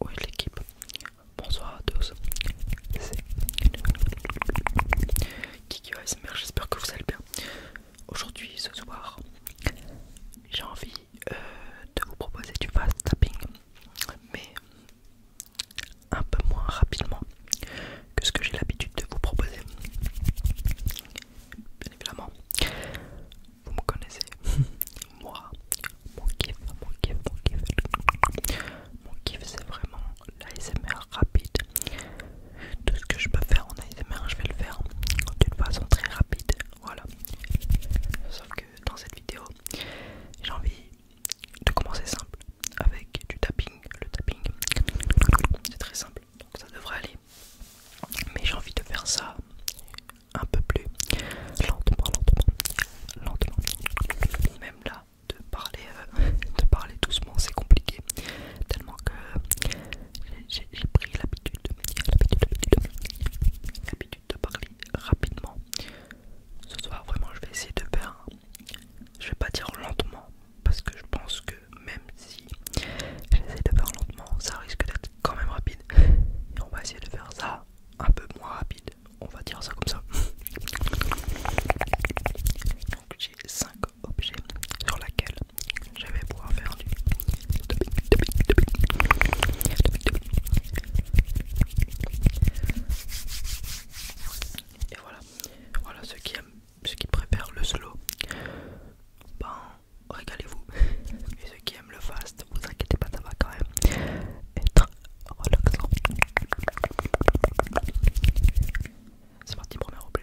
Oui l'équipe, bonsoir à tous, c'est Kiki j'espère que vous allez bien. Aujourd'hui, ce soir, j'ai envie euh, de vous proposer du fast tapping, mais un peu moins rapidement que ce que j'ai l'habitude de vous proposer. Bien évidemment, vous me connaissez. Moi, mon kiff, mon kiff, mon kiff. Mon kiff, c'est vraiment l'ASMR rapide. Tout ce que je peux faire en ASMR, je vais le faire d'une façon très rapide. Voilà. Sauf que dans cette vidéo, j'ai envie de commencer simple avec du tapping. Le tapping, c'est très simple, donc ça devrait aller. Mais j'ai envie de faire ça un peu plus lentement, lentement, lentement. Même là, de parler, euh, de parler doucement, c'est compliqué. Tellement que j'ai pris l'habitude, l'habitude de parler rapidement. Ce soir, vraiment, je vais essayer de faire je vais pas dire lentement parce que je pense que même si j'essaie de faire lentement ça risque d'être quand même rapide et on va essayer de faire ça un peu moins rapide on va dire ça comme ça donc j'ai 5 objets sur laquelle je vais pouvoir faire du et voilà voilà, ceux qui aiment, ceux qui préfèrent le slow, bon régalez-vous. Et ceux qui aiment le fast, vous inquiétez pas, ça va quand même être relaxant. C'est parti, premier replay.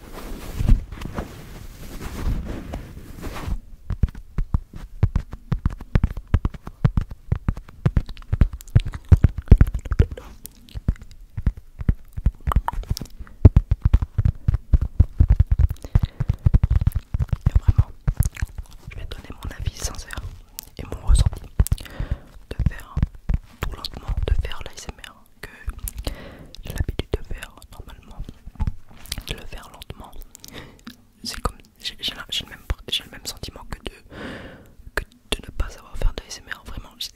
vraiment, je vais donner mon avis sincère et mon ressenti de faire tout lentement, de faire l'ASMR que j'ai l'habitude de faire normalement, de le faire lentement. C'est comme j'ai le, le même sentiment que de, que de ne pas savoir faire de SMR. Vraiment, c'est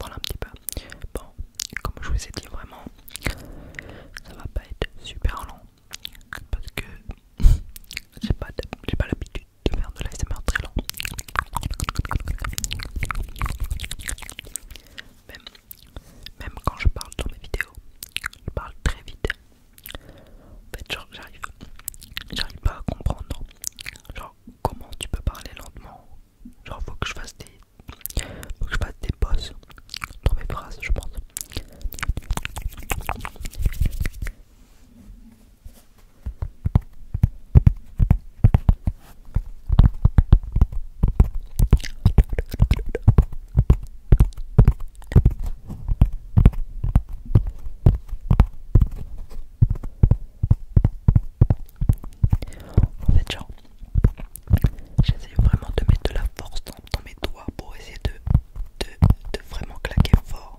Voilà un petit peu. Bon, comme je vous ai dit, vraiment, ça va pas être super long parce que j'ai pas l'habitude de faire de l'ASMR très long. Même quand je parle dans mes vidéos, je parle très vite. En fait, j'arrive, j'arrive pas à comprendre. Genre, comment tu peux parler lentement Genre, faut que je fasse des, faut que je fasse des pauses dans mes phrases, je pense. En fait, genre, j'essaie vraiment de mettre de la force dans, mes doigts pour essayer de, de vraiment claquer fort.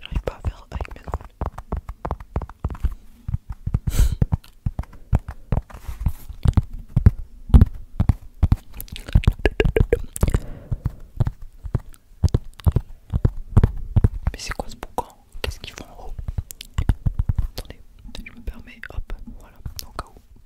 J'arrive pas à faire avec mes ongles. Mais c'est quoi ce boucan Qu'est-ce qu'ils font en haut Attendez, je me permets, hop, voilà, au cas où.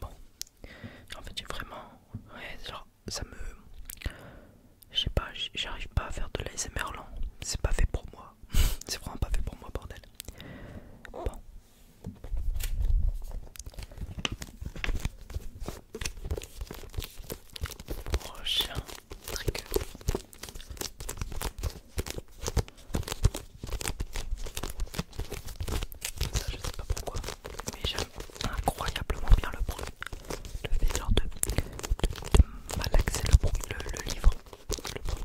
Bon, en fait, j'ai vraiment. ça me. Je sais pas, j'arrive pas à faire de l'ASMR Merlin. C'est pas fait pour moi. C'est vraiment pas fait pour moi, bordel. Bon. Prochain trigger. Ça, je sais pas pourquoi, mais j'aime incroyablement bien le bruit. Le fait de, malaxer le, bruit, le, livre. Le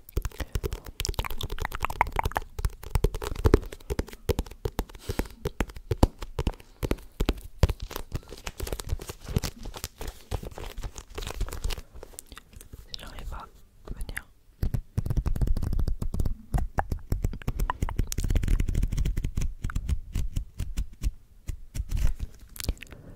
Si j'arrive à venir.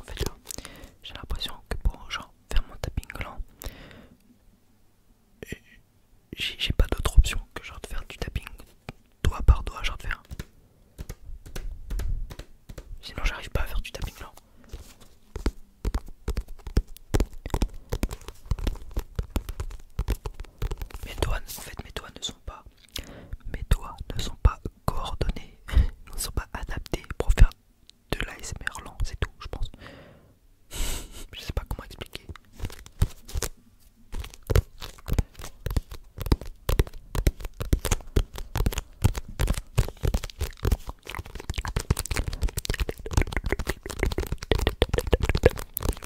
En fait là, j'ai l'impression que pour genre faire mon tapping lent j'ai pas d'autre option que genre de faire du tapping doigt par doigt, genre faire. Sinon j'arrive pas à faire du tapping lent. Mes doigts, en fait mes doigts ne sont pas mes doigts ne sont pas coordonnés, ne sont pas adaptés pour faire de l'ASMR lent, c'est tout, je pense. je sais pas comment expliquer.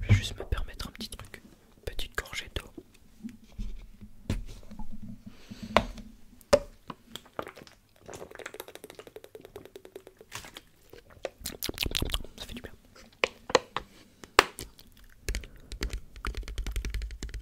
Je vais juste me permettre un petit truc, petite gorgée d'eau. Ça fait du bien.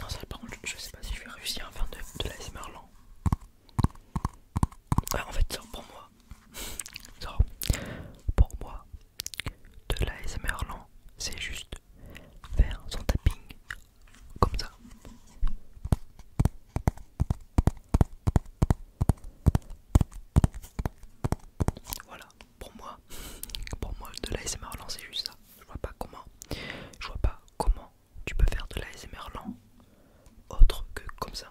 Non, ça par je sais pas si je vais réussir à faire de, l'ASMR la en fait, ça, pour moi, pour moi, de la lent, c'est juste faire son tapping comme ça. Voilà, pour moi, pour moi de l'ASMR lent c'est juste ça. Je vois pas comment, je vois pas comment tu peux faire de l'ASMR lent autre que comme ça.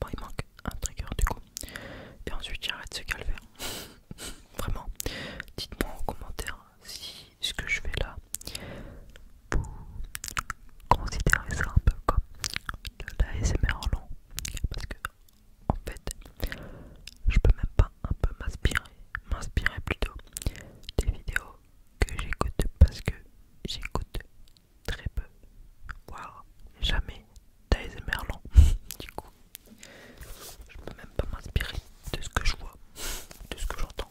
Bon, il manque un trigger du coup. Et ensuite, j'arrête ce calvaire. Vraiment, dites-moi en commentaire si ce que je fais là, vous considérez ça un peu comme de l'ASMR long. Parce que, en fait, je peux même pas un peu m'inspirer, m'inspirer plutôt des vidéos que j'écoute parce que j'écoute très peu, voire jamais des et du coup, je peux même pas m'inspirer de ce que je vois, de ce que j'entends.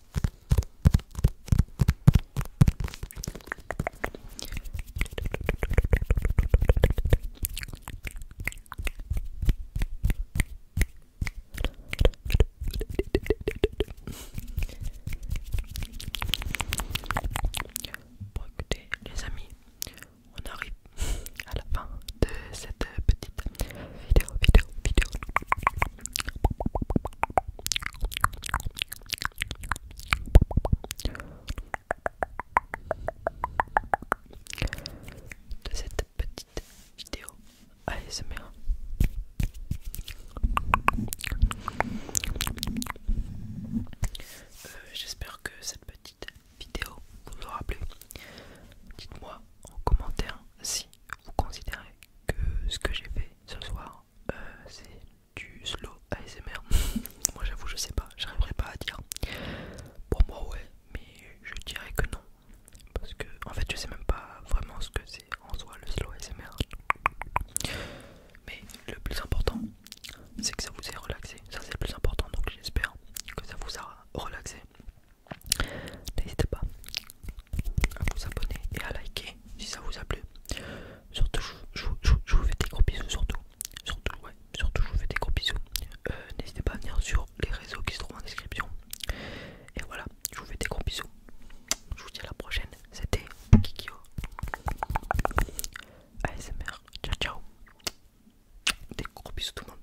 écoutez les amis, on arrive à la fin de cette petite vidéo, vidéo, vidéo de cette petite vidéo c'est Euh, J'espère que cette petite vidéo vous aura plu. Dites-moi en commentaire si vous considérez que ce que j'ai fait ce soir euh, c'est du slow ASMR, moi j'avoue je sais pas, j'arriverai pas à dire. Pour moi ouais, mais je dirais que non. Parce que en fait je sais même pas vraiment ce que c'est en soi le slow ASMR. Mais le plus important c'est que ça vous ait relaxé, ça c'est le plus important donc j'espère que ça vous a relaxé. N'hésitez pas à vous abonner et à liker si ça vous a plu. Surtout, je, vous fais des gros bisous. Surtout, surtout, surtout, je vous fais des gros bisous. Euh, n'hésitez pas à venir sur les réseaux qui se trouvent en description. Et voilà, je vous fais des gros bisous. Je vous dis à la prochaine. C'était Kikio ASMR. Ciao, ciao. Des gros bisous, tout le monde.